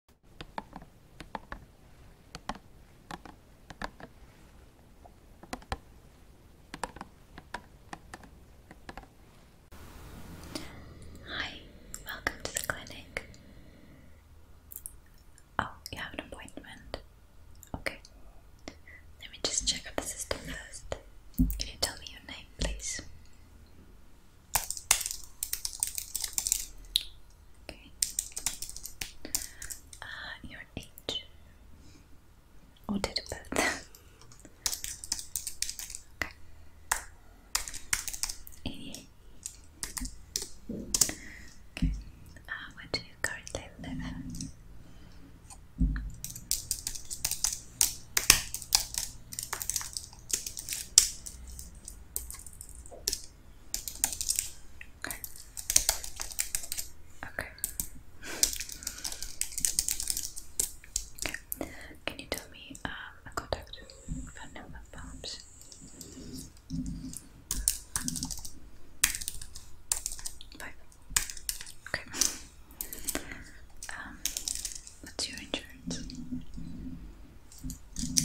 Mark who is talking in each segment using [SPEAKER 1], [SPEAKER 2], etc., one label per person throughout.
[SPEAKER 1] Hi, welcome to the clinic. Oh, you have an appointment. Okay. Let me just check out the system first. Can you tell me your name, please? Okay. Uh, your age. Or did it birth? okay. Any? Okay. Uh, where do you currently live? Okay. Okay. okay. Can you tell me um, a contact phone number, perhaps? Five. Okay. Um, what's your insurance? Okay.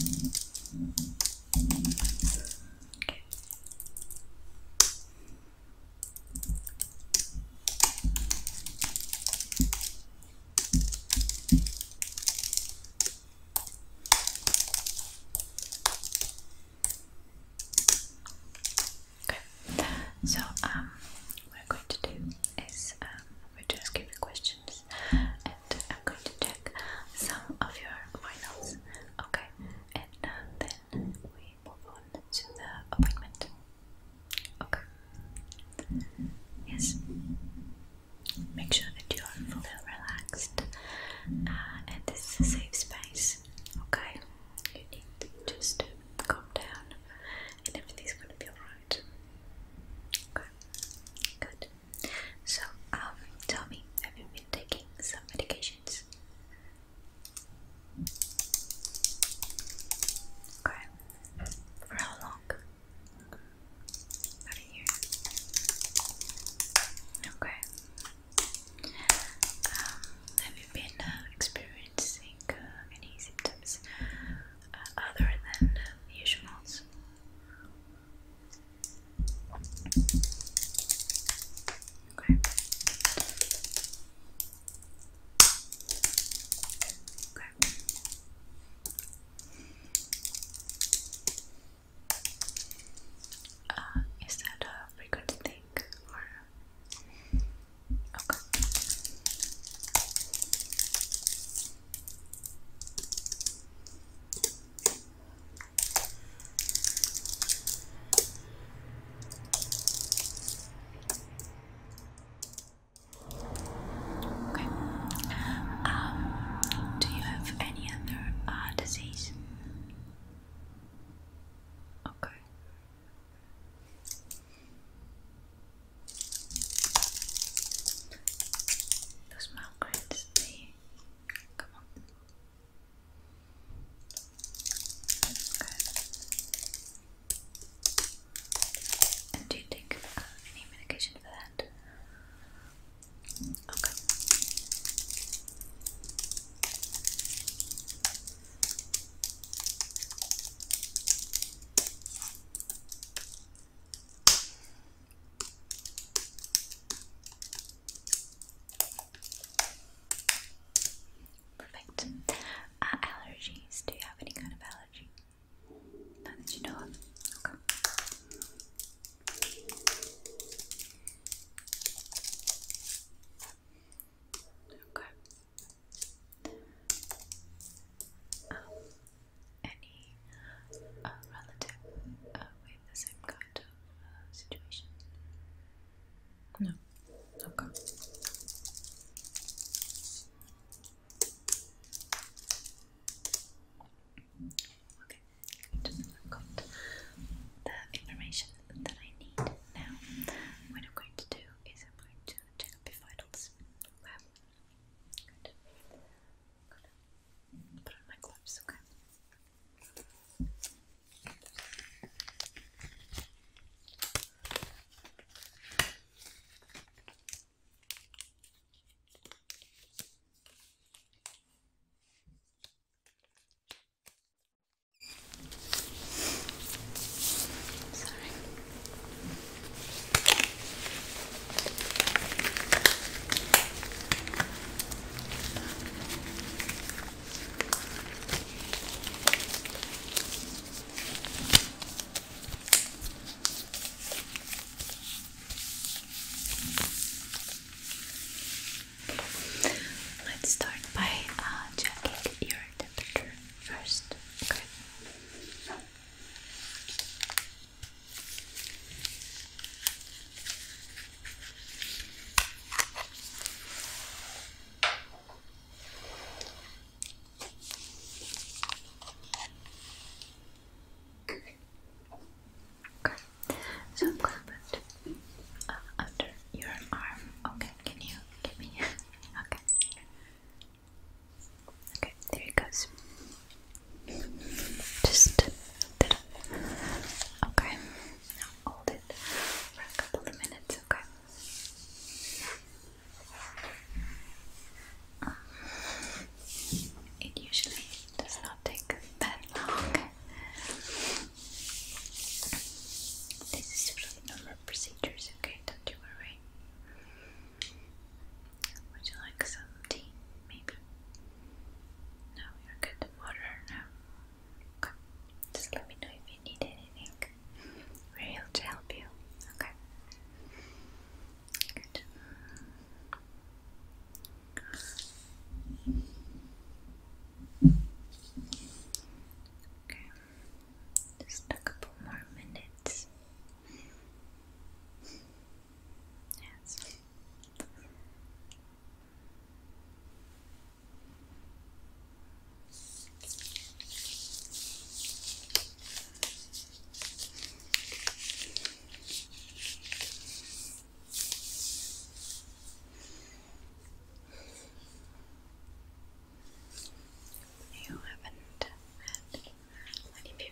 [SPEAKER 1] so um, what I'm going to do is um, we're um, we just give a question and I'm going to check some of your finals. Okay, and uh, then we move on to the appointment. Okay. Yes. Make sure that you are fully relaxed uh, and this is a safe space. Okay. You need to just calm down and everything's gonna be alright. Okay. Good. So, um, tell me, have you been taking some medications? Okay. For how long? a year. Okay. Um, have you been uh, experiencing uh, any symptoms uh, other than uh, usuals? Okay. Okay. Uh, is that a frequent thing Okay. Okay. Um, do you have any other uh, disease? Okay. Those migraines, they Come And do you take uh, any medication for that? Okay. Perfect. Uh, allergies. Do you have any kind of allergy? Not that you know of. Okay. Okay. Um, any uh, relative uh, with the same kind of uh, situation? No. Okay. Okay, good. I've got the information that I need now. What I'm going to do is I'm going to check up your vitals. Put on my gloves, okay? Sorry. Let's start by uh, checking your temperature first. Okay. Okay, so put uh, under your arm. Okay, can you give me? okay, okay, there it goes. Just Okay. hold it for a couple of minutes, okay? Um, it usually does not take that long. This is sort normal procedures, okay? Don't you worry. Would you like some tea? Maybe. No, you're good to water now. Okay. Just let me know if you need anything. We're here to help you. Okay. Good. Okay. Just a couple more minutes. Yes. You haven't had many people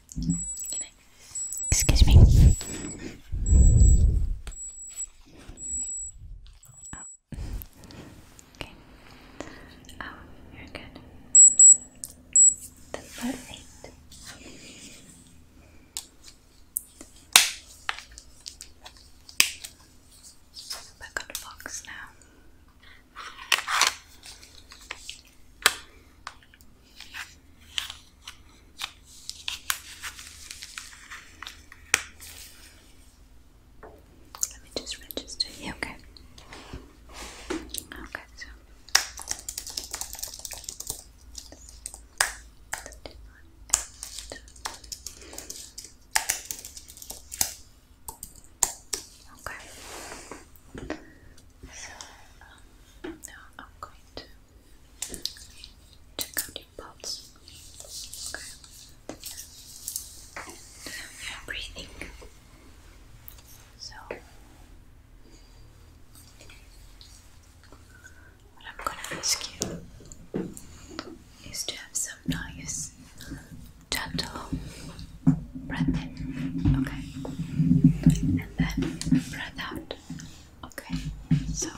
[SPEAKER 1] Excuse me. Oh. Okay. Oh, you're good. That's perfect. Back on the now. Let me just register you, okay? Okay, so. Okay. So, um, now I'm going to check out your pulse. Okay. And your uh, breathing. So what I'm gonna ask you is to have some nice, gentle breath in, okay, and then breath out. Okay, so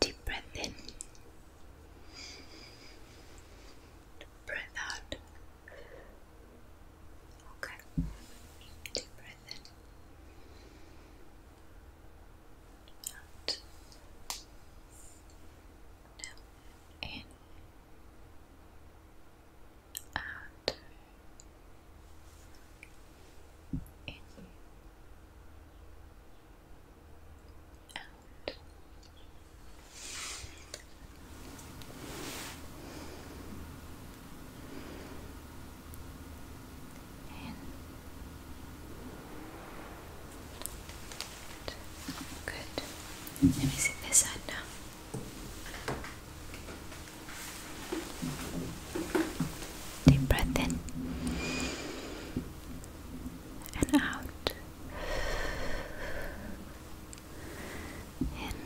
[SPEAKER 1] deep breath in, breath out. Okay, deep breath in, out, in, out in you out. Good. Let me sit this side now. Deep breath in and out. In and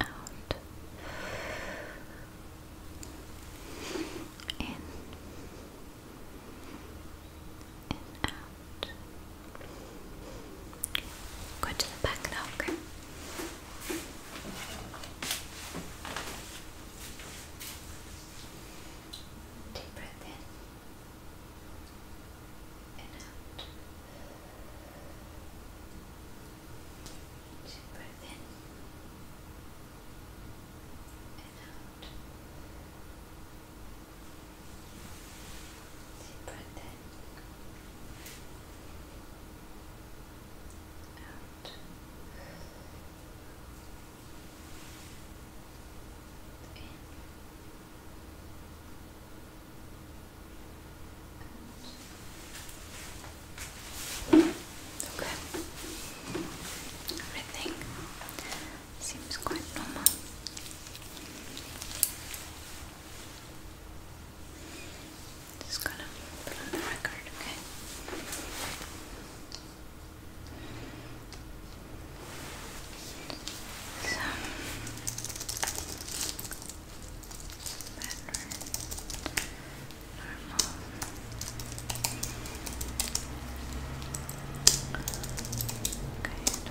[SPEAKER 1] out. In and out. Go to the back now, Deep breath in and out. Deep breath in and out. Deep breath out. In. And okay. Everything seems quite normal. Just gonna put on the record, okay? So better normal. Okay,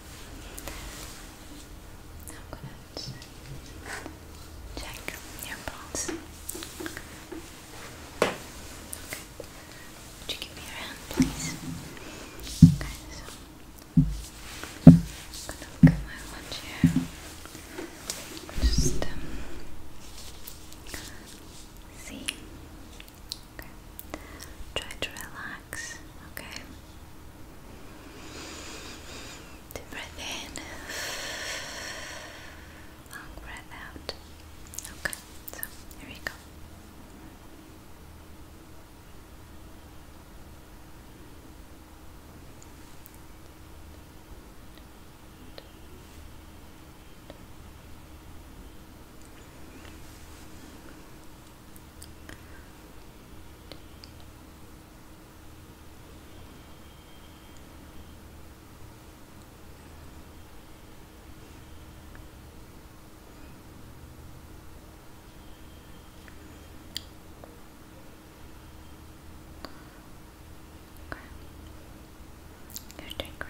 [SPEAKER 1] I'm check your pulse. Would you give me your hand, please? Okay, so I'm going Just um, see Try to relax. Okay. Deep breath in. Long breath out. Okay. So here we go. Okay. You're doing great.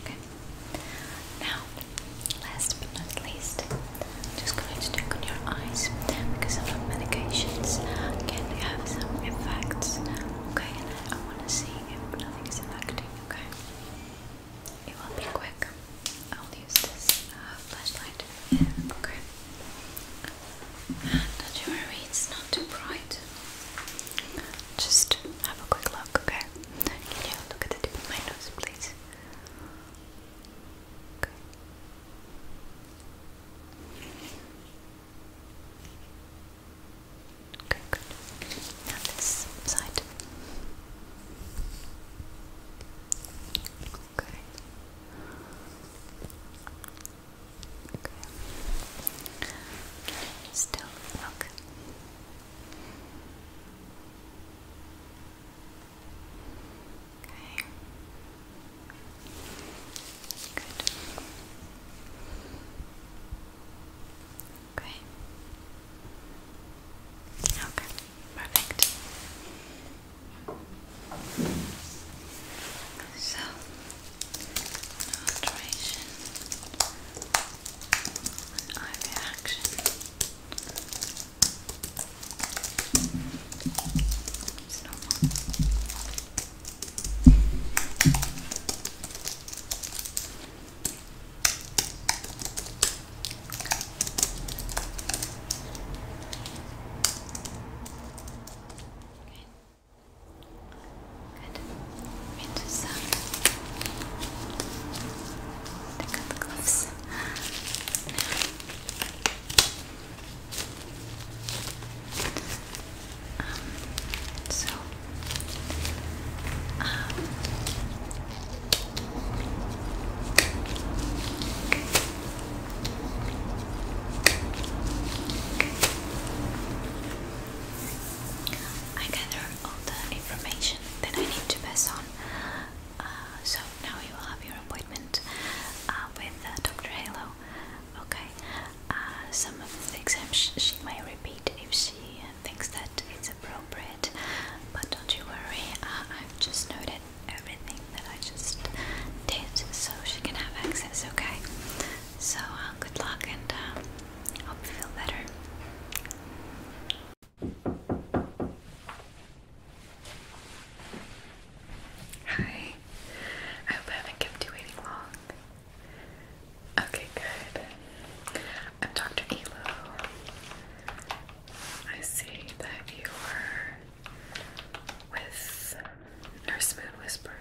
[SPEAKER 1] Okay. Now, last but not least, just going to check on your eyes because a medications can have some effects. Okay, and I want to see if nothing is affecting. Okay. It will be quick. I'll use this uh, flashlight. Yeah, okay. And the jewelry it's not too bright. Just have a quick look, okay? Can you look at the tip of my nose, please? Okay. Okay, good. Now this side. Okay. Okay. Still look. Okay. Good. Okay. Okay, perfect. So, alteration, reaction. It's into some. Take out the gloves. Now. Um, so, um, I gather all the information that I need to pass on. Uh, so now you will have your appointment uh, with uh, Dr. Halo. Okay. some of the exams she might repeat if she thinks that it's appropriate. But don't you worry, uh, I've just noted everything that I just did, so she can have access. Okay. So uh, good luck, and I um, hope you feel better. Hi. I hope I haven't kept you waiting long. Okay, good i Dr. Elo. I see that you were with Nurse Moon Whisper.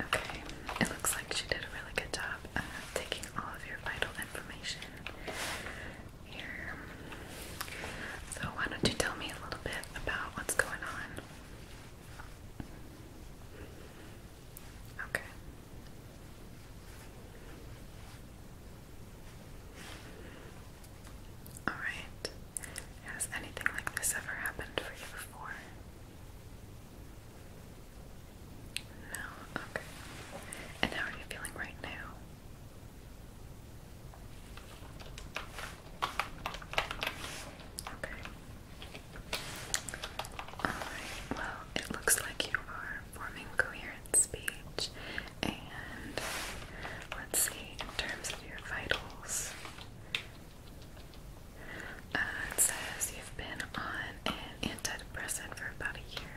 [SPEAKER 1] Okay, it looks like she did a really good job taking all of your vital information here. So, why don't you tell me a little bit about what's going on? Okay. Alright, has anything like this ever happened for you before? No? Okay. And how are you feeling right now? Okay. Alright, well, it looks like you are forming coherent speech and let's see, in terms of your vitals, uh, it says you've been on an antidepressant for about a year.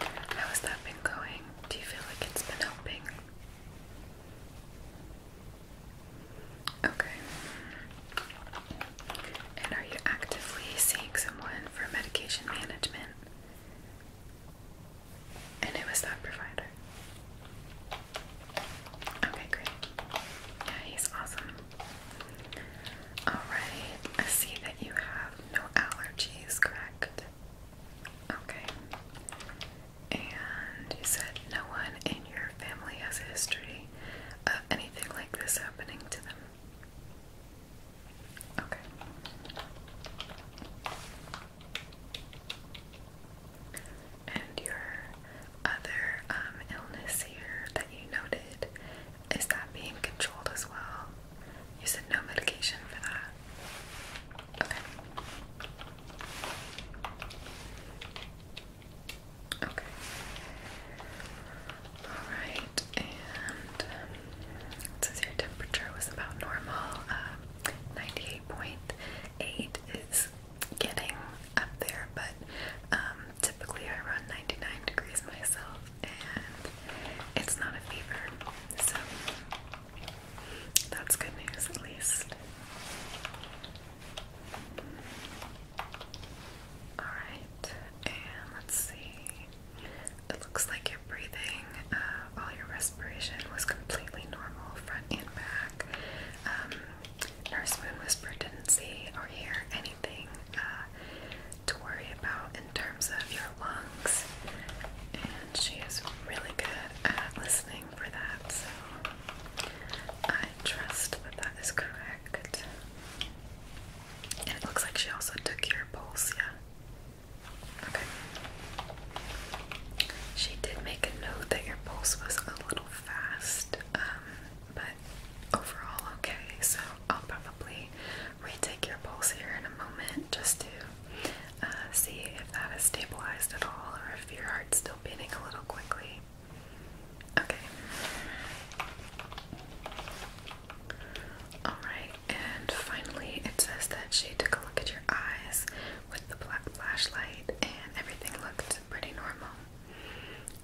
[SPEAKER 1] How has that been going? Do you feel like it's been helping? Okay. And are you actively seeing someone for medication management? And who is that provider? Okay, great. Yeah, he's awesome. Alright, I see that you have no allergies, correct? Okay. And you said no one in your family has history of anything like this happening to them. Okay. And your other um, illness here that you noted, is that being controlled as well? You said no medication for that. Okay. Okay. Alright, and um, says your temperature was about normal. Uh, 98.8 is getting up there, but um, typically I run 99 degrees myself, and it's not a fever, so that's good news at least. Alright, and let's see. It looks like you're breathing, uh, all your respiration was completely normal, front and back. Um, nurse Moon Whisper didn't see or hear anything uh, to worry about in terms of your lungs, and she is really good at listening for that, so I trust that that is correct. And it looks like she also took your pulse, yeah? Okay. She did make a note that your pulse was a little fast, um, but overall okay. So I'll probably retake your pulse here in a moment just to uh, see if that is stabilized at all or if your heart's still beating a little quickly. Okay. Alright, and finally, it says that she took a look at your eyes with the black flashlight, and everything looked pretty normal.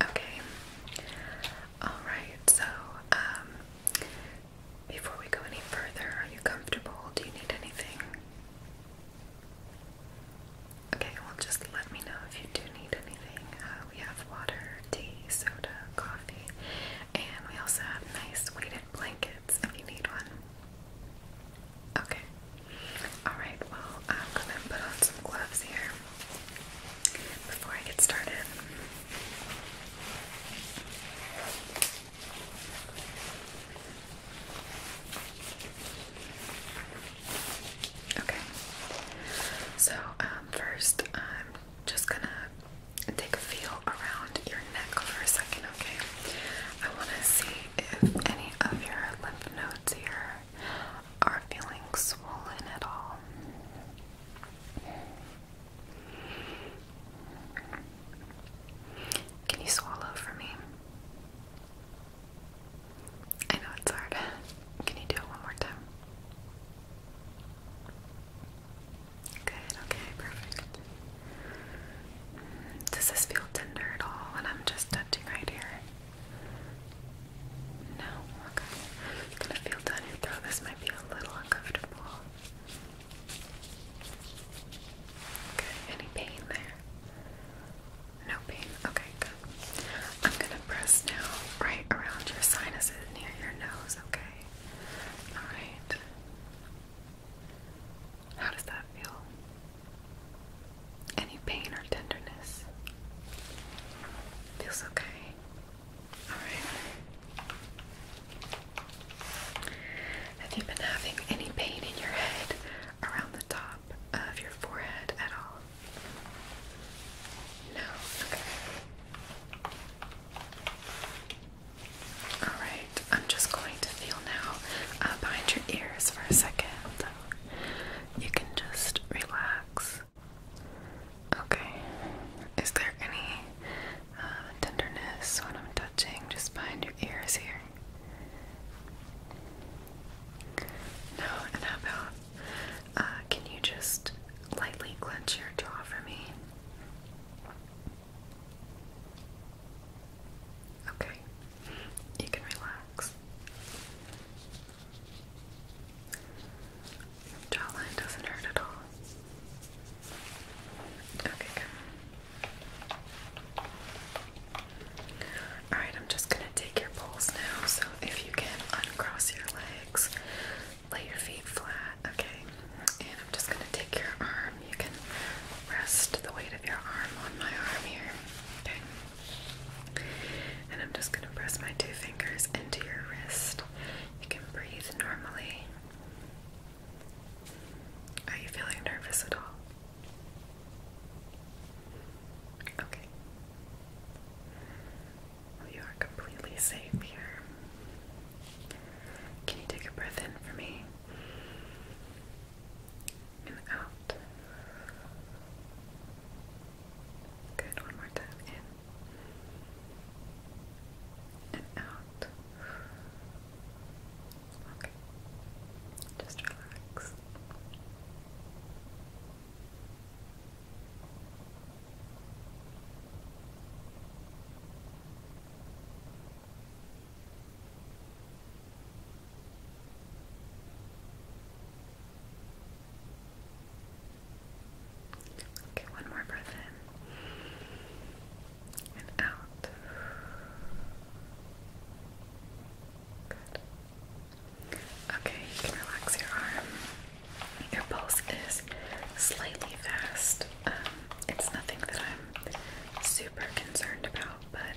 [SPEAKER 1] Okay. Alright, so, um, before we go any further, are you comfortable? Do you need anything? Okay, well, just let me know if you do need anything. Uh, we have water, tea, soda, coffee. And we also have nice weighted blankets if you need one. Okay. Alright, well, I'm gonna put on some gloves here before I get started. Okay. So, um, first, I'm just gonna take a feel around your neck for a second, okay? I want to see if any of your lymph nodes here are feeling swollen at all. Can you swallow for me? I know it's hard. Can you do it one more time? Good, okay, perfect. Does this feel tender at all? And I'm just touching right here. No, okay. gonna feel down your throat. This might be a little uncomfortable. Okay, any pain there? No pain. Okay, good. I'm gonna press now right around your sinuses near your nose, okay? All right. How does that feel? Any pain or tenderness? Feels okay. Alright. Have you been having any pain in your head around the top of your forehead at all? No? Okay. Alright, I'm just going to feel now uh, behind your ears for a second. You can just relax. Okay, is there any uh, tenderness when I'm touching just behind your ears here? No, and how about uh, can you just lightly clench your jaw for me? Okay, you can relax. jawline doesn't hurt at all. Okay, good. Alright, I'm just gonna take your pulse now, so if you can uncross your legs, Lay your feet flat, okay? And I'm just going to take your arm. You can rest the weight of your arm on my arm here, okay? And I'm just going to press my two fingers into your wrist. You can breathe normally. Are you feeling nervous at all? Okay. you are completely safe here. Can you take a breath in for me? And out. Good, one more time. In. And out. Okay. Just relax. Okay, one more breath in and out. Good. Okay, you can relax your arm. Your pulse is slightly fast. Um, it's nothing that I'm super concerned about, but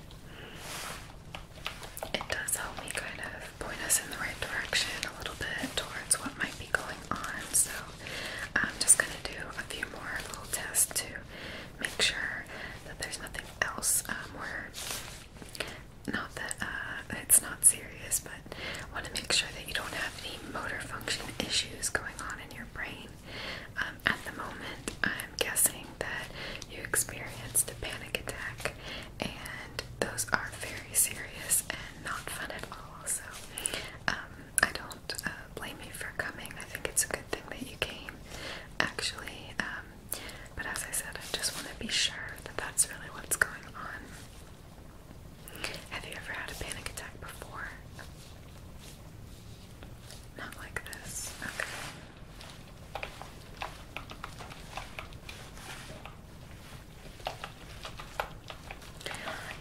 [SPEAKER 1] it does help me kind of point us in the right direction a little bit towards what might be going on. So I'm just going to do a few more little tests to make sure that there's nothing else um, where not that uh, it's not serious, but I want to make sure that you don't have any motor function issues going on in your brain. Um, at the moment, I'm guessing that you experienced a panic attack, and those are very serious and not fun at all. So, um, I don't uh, blame you for coming. I think it's a good thing that you came, actually. Um, but as I said, I just want to be sure that that's really what's going on. Have you ever had a panic attack before? Not like this. Okay.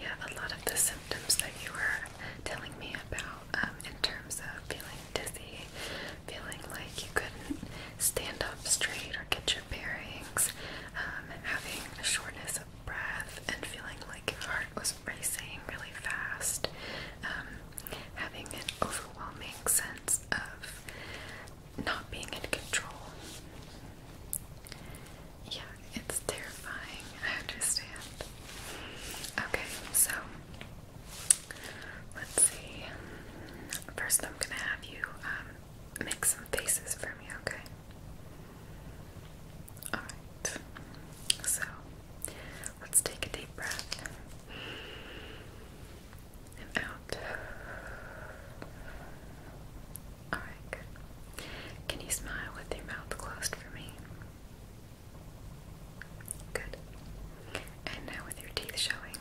[SPEAKER 1] Yeah, a lot of the symptoms that you were telling me about um, in terms of feeling dizzy, feeling like you couldn't stand up straight or get your bearings, um, having a shortness of breath, and feeling like heart was racing really fast, um, having an overwhelming sense of not being in control. Yeah, it's terrifying, I understand. Okay, so let's see. First, I'm gonna have you um, make some faces for me, okay? Alright, so let's take a deep breath and out. Alright, Can you smile with your mouth closed for me? Good. And now with your teeth showing.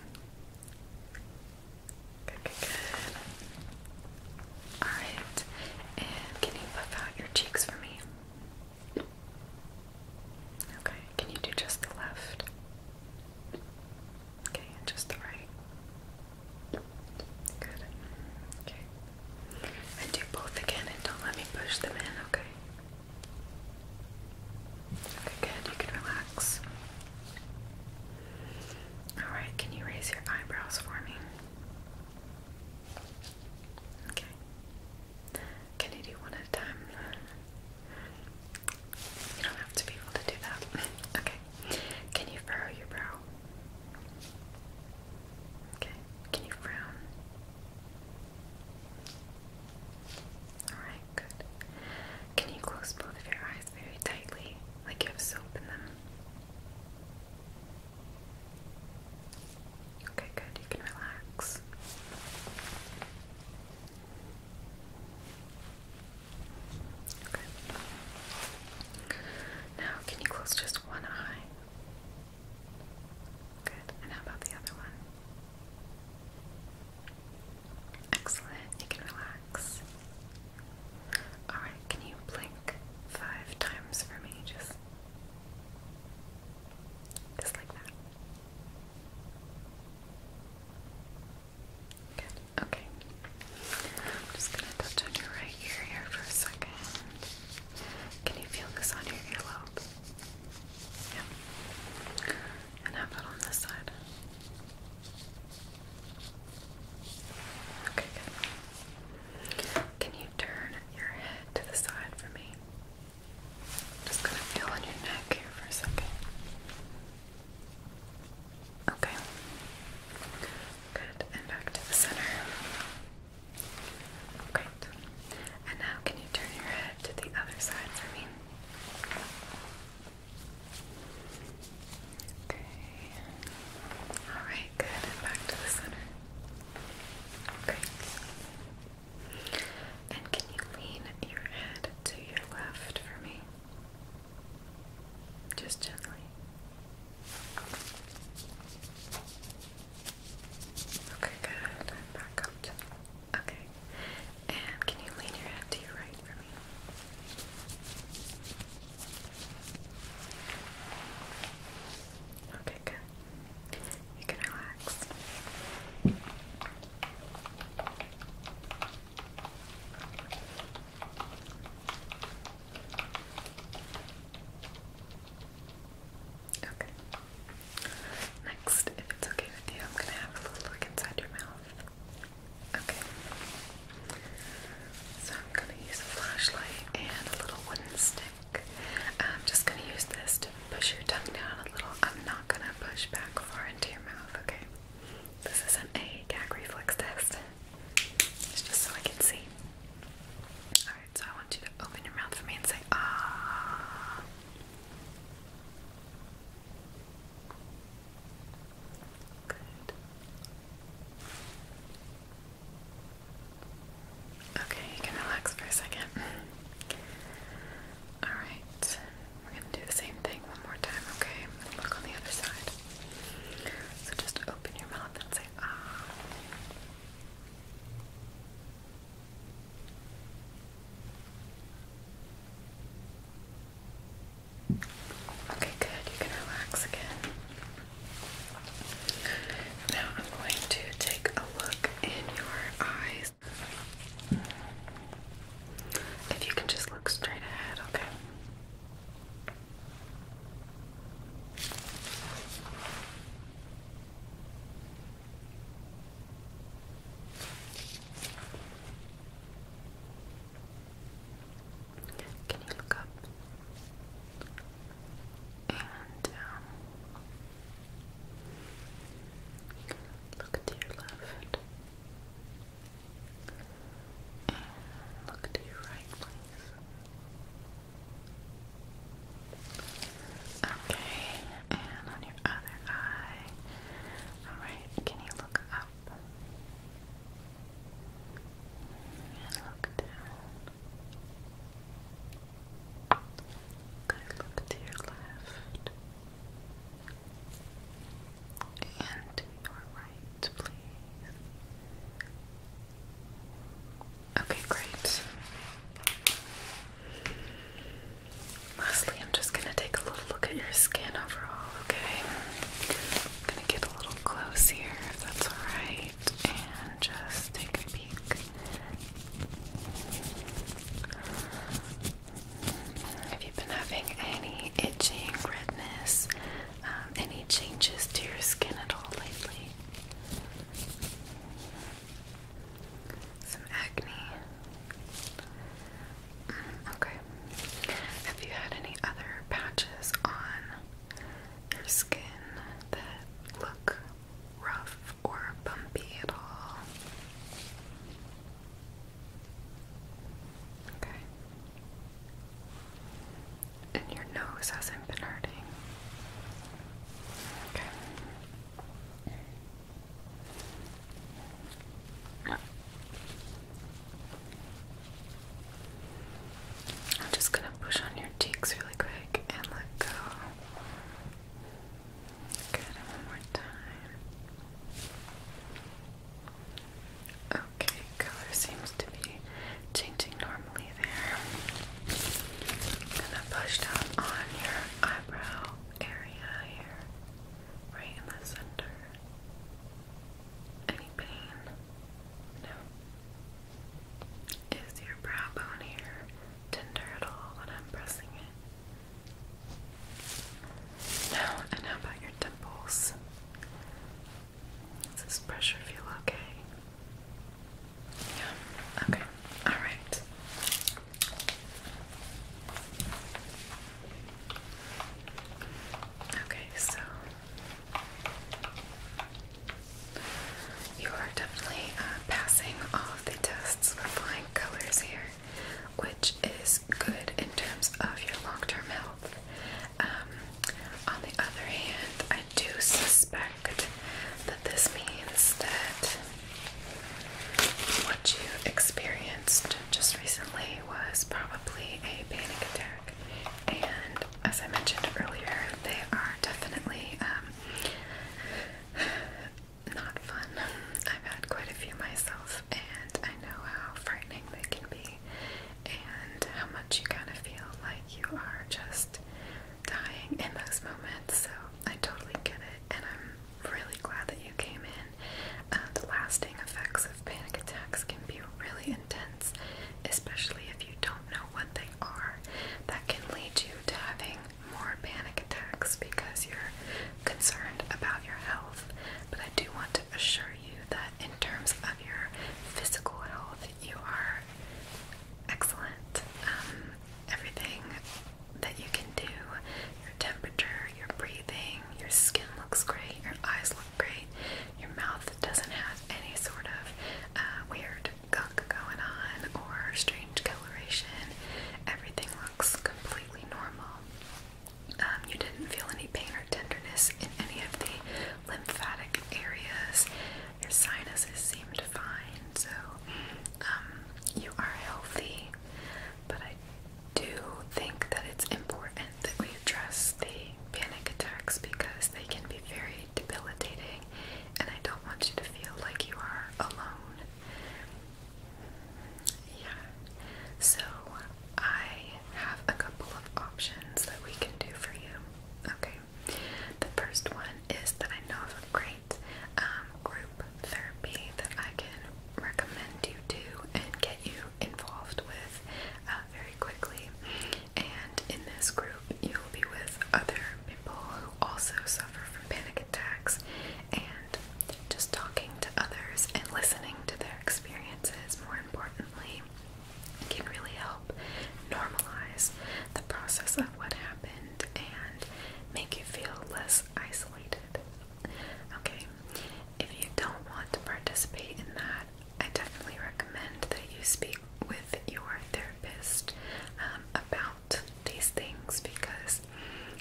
[SPEAKER 1] good, good. Alright, and can you puff out your cheeks for me? Okay, can you do just the left? Okay, just the right. Good. Okay. And do both again and don't let me push them in, okay? Okay, good. You can relax. Alright, can you raise your eyebrows for me? Okay. Can you do one at a time? You don't have to be able to do that. Okay. Can you furrow your brow? Okay. Can you frown? Alright, good. Can you close both of your eyes very tightly, like you have soap in them? Okay, good. You can relax. Okay. Now, can you close just one eye? Good. And how about the other one? Excellent. You can relax. Alright, can you blink five times for me? Just just like that. Okay. I'm just gonna touch on your right ear here for a second. Can you feel this on your earlobe? Yeah. And how about on this side? Okay, good. Can you turn your head to the side for me? just gonna feel on your neck here for a second. Okay. Good. And back to the center. Great. And now can you turn your head to the other side for me? Okay. Alright, good. And back to the center. And can you lean your head to your left for me? Just gently. Okay, good. back up Okay. And can you lean your head to your right for me? Okay, good. You can relax. Okay. Next, if it's okay with you, I'm gonna have a little look inside your mouth. Okay. So I'm gonna use a flashlight and a little wooden stick. I'm just gonna use this to push your tongue down a little. I'm not gonna push back far into your mouth, okay? This is an a gag reflex test. It's just so I can see. Alright, so I want you to open your mouth for me and say, ah. Good. Okay, you can relax for a second. Alright, we're going to do the same thing one more time, okay? Look on the other side. So just open your mouth and say, ah. Okay, good. You can relax again. Now I'm going to take a look in your eyes. If you can just look straight ahead, okay? Can you look up and down? Um, Look to your left. look to your right, please. Okay, and on your other eye. Alright, can you look up? And look down. Good look to your left and your right, please. Okay, great. Lastly, I'm just going to take a little look at your skin overall, okay? I'm going to get a little close here, if that's alright and just take a peek. If you been having any itching, redness, um, any changes to your skin at all lately, some acne. Mm, okay. Have you had any other patches on your skin that look rough or bumpy at all. Okay. And your nose hasn't been hurting. Okay. I'm just gonna push on your cheeks really quick and let go. Good, one more time. Okay, color seems to be changing normally there. gonna push down on your eyebrow area here, right in the center. Any pain? No. Is your brow bone here tender at all when I'm pressing it. Now, and how about your temples? Does this pressure feel okay? Yeah, okay, alright. Okay, so you are definitely uh, passing all of the tests with flying colors here, which is good in terms of your long term health. Um, on the other hand, I do suspect that this means that what you experienced just recently was probably a panic attack. And as I mentioned earlier, they are definitely um, not fun. I've had quite a few myself, and I know how frightening they can be, and how much you kind of feel like you are just dying in those moments. So I totally get it, and I'm really glad that you came in. Uh, the lasting effects of panic attacks can be really intense, especially if you don't know what they are. That can lead you to having more panic attacks because you're concerned about your health. But I do want to assure you that in terms of your physical health, you are excellent. Um, everything that you can do, your temperature, your breathing, your skin looks great, your eyes look great, your mouth doesn't have any sort of uh, weird gunk going on or strange coloration. Everything looks completely normal. Um, you didn't feel any pain or tenderness in any of the lymphatic areas. Your sinuses seemed fine, so um, you are healthy. But I do think that it's important that we address the panic attacks because they can be very debilitating, and I don't want you to feel like you are alone. Yeah. So I have a couple of options that we can do for you. Okay. The first one is that I know of a great um, group therapy that I can recommend you to and get you involved with uh, very quickly. And in this group, you'll be with other people who also suffer from panic attacks and just talking to others and listening to their experiences, more importantly, can really help normalize the process of what happened and make you feel less isolated. Okay, if you don't want to participate in that, I definitely recommend that you speak with your therapist um, about these things because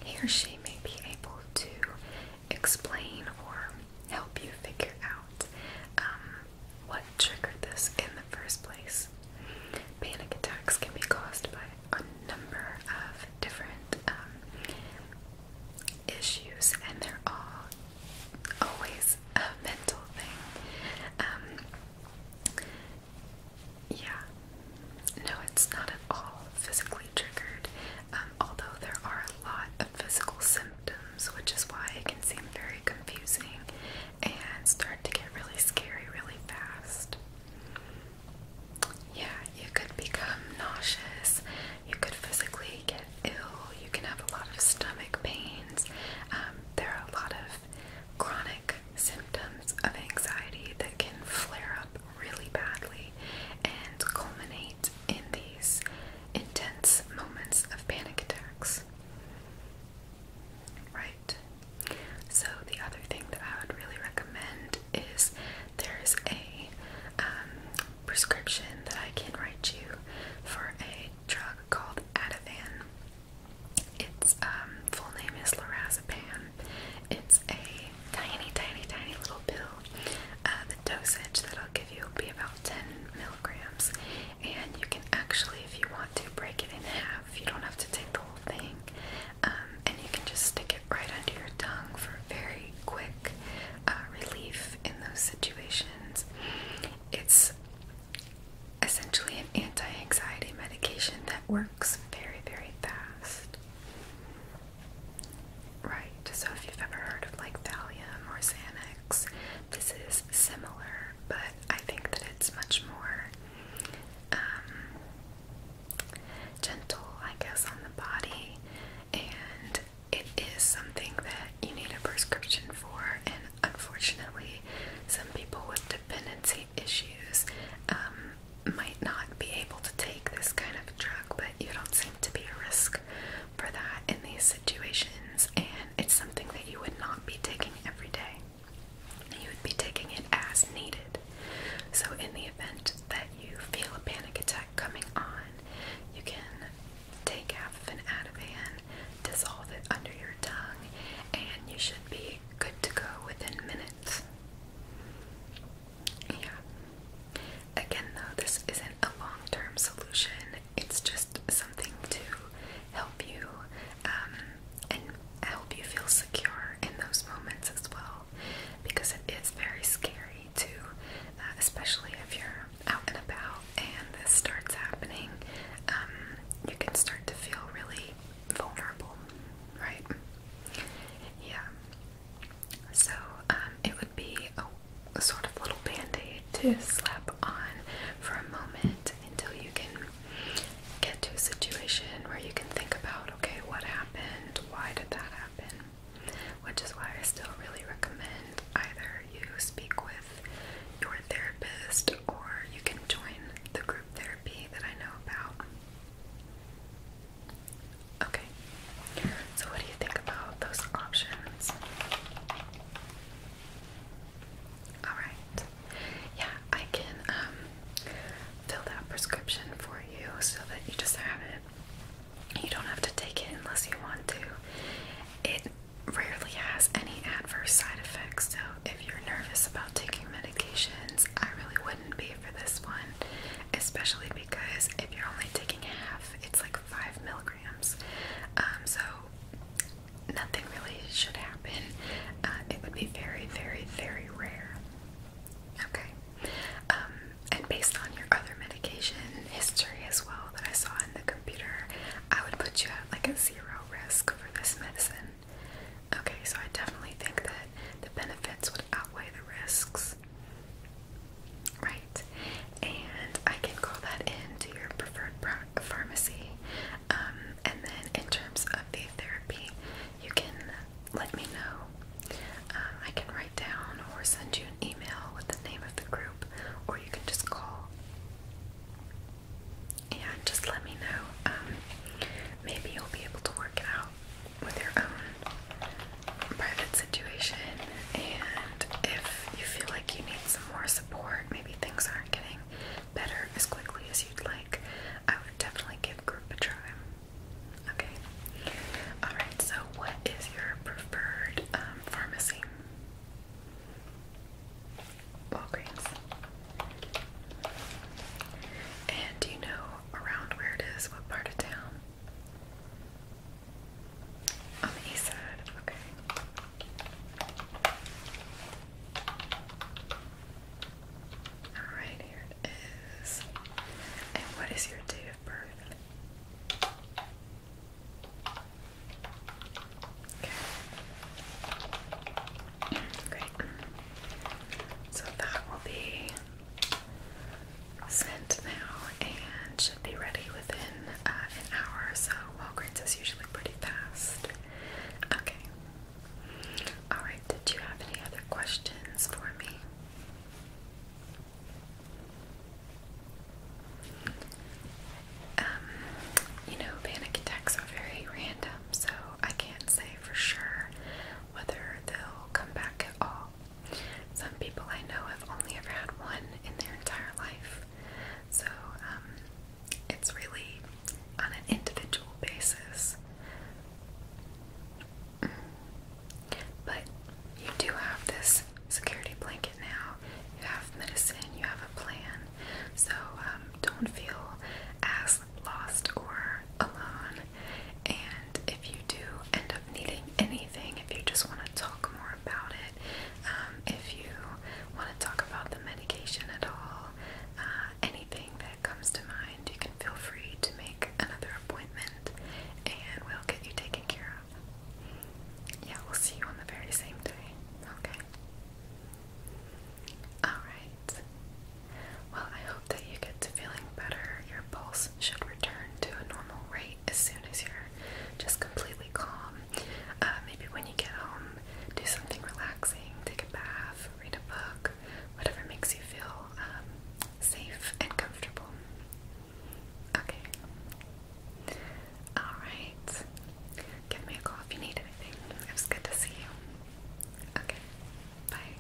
[SPEAKER 1] he or she may be able to explain or help you figure out um, what triggered this in the first place. Panic attacks can be caused by a number of different um, issues, and they're all always a mental thing. Um, yeah. No, it's not at all physically triggered, um, although there are a lot of physical symptoms, which is why it can seem very confusing and start to get really scary really fast. Yeah, you could become nauseous, you could physically get ill, you can have a lot of stomach pains. Um, there are a lot of chronic symptoms of anxiety that can flare up really badly and culminate in these intense moments of panic attacks. Right. So the other thing that I would really recommend is there's a um, prescription that I can write you for a drug called Ativan. Its um, full name is lorazepam, it's a tiny, tiny, tiny little pill. Uh, the dosage that I'll give you will be about 10 milligrams, and you can actually, if you want to, break it in half. You don't have to take the whole thing, um, and you can just stick it right under your tongue for very quick uh, relief in those situations. It's essentially an anti anxiety medication that works very, very fast. Right, so if you've ever heard of like Valium or Xanax, this is similar, but I think that it's much more um, gentle, I guess, on the body, and it is something that you need a prescription for, and unfortunately, some people with dependency issues um, might not be able to take this kind of drug, but you don't seem to be a risk for that in these situations, and it's something that you would not be taking every day. You would be taking it as needed. So, in the event that you feel a panic attack coming on, you can take half of an Ativan, dissolve it under your tongue, and you should be good to go within minutes. Yeah. Again, though, this isn't a long term solution, it's just something to help you um, and help you feel secure in those moments as well because it is very scary to, uh, especially if you're out and about and this starts happening, um, you can start to feel really vulnerable, right? Yeah. So um, it would be a, a sort of little band-aid to slap on for a moment until you can get to a situation where you can think about, okay, what happened? Why did that happen? Which is why I still really recommend either you speak with your therapist or you can join the group therapy that I know about. Okay, so what do you think about those options? Alright, yeah, I can um, fill that prescription for you so that you just have it. You don't have to take it unless you want to. It rarely has any adverse side effects, so if you're nervous about taking medications, I really wouldn't be for this one especially because if you're only taking half, it's like five milligrams. Um, so nothing really should happen. Uh, it would be very, very, very rare. Okay. Um, and based on your other medication history as well that I saw in the computer, I would put you at like a zero risk for this medicine. Okay, so I definitely think that the benefits would outweigh the risks. Right, and I can call that into your preferred pharmacy. Um, and then, in terms of the therapy, you can let me know. Um, I can write down or send you an email with the name of the group, or you can just call. And just let me know. Um, maybe you'll be able to work it out with your own private situation. And if you feel like you need some more support, maybe things aren't getting better as quickly as you'd like, I would definitely give group a try. Okay. Alright, so what is your preferred um, pharmacy? Walgreens. And you know around where it is, what part of town? On the east okay. Alright, here it is. And what is your date of birth? Okay. Great. So that will be scent now and should be ready within uh, an hour or so. Walgreens is usually pretty fast. Okay. Alright, did you have any other questions for me? Um, you know, panic attacks are very random, so I can't say for sure whether they'll come back at all. Some people I know have only ever had one in their entire life. So um, it's really on an individual basis. But you do have this security blanket now. You have medicine, you have a plan. So um, don't feel as lost or alone and if you do end up needing anything, if you just want to talk more about it, um, if you want to talk about the medication at all, uh, anything that comes to mind, you can feel free to make another appointment and we'll get you taken care of. Yeah, we'll see you on the very same day. Okay. Alright. Well, I hope that you get to feeling better. Your pulse should return to a normal rate as soon as you're just completely calm. Uh, maybe when you get home, do something relaxing, take a bath, read a book, whatever makes you feel um, safe and comfortable. Okay. Alright. Give me a call if you need anything. It was good to see you. Okay. Bye.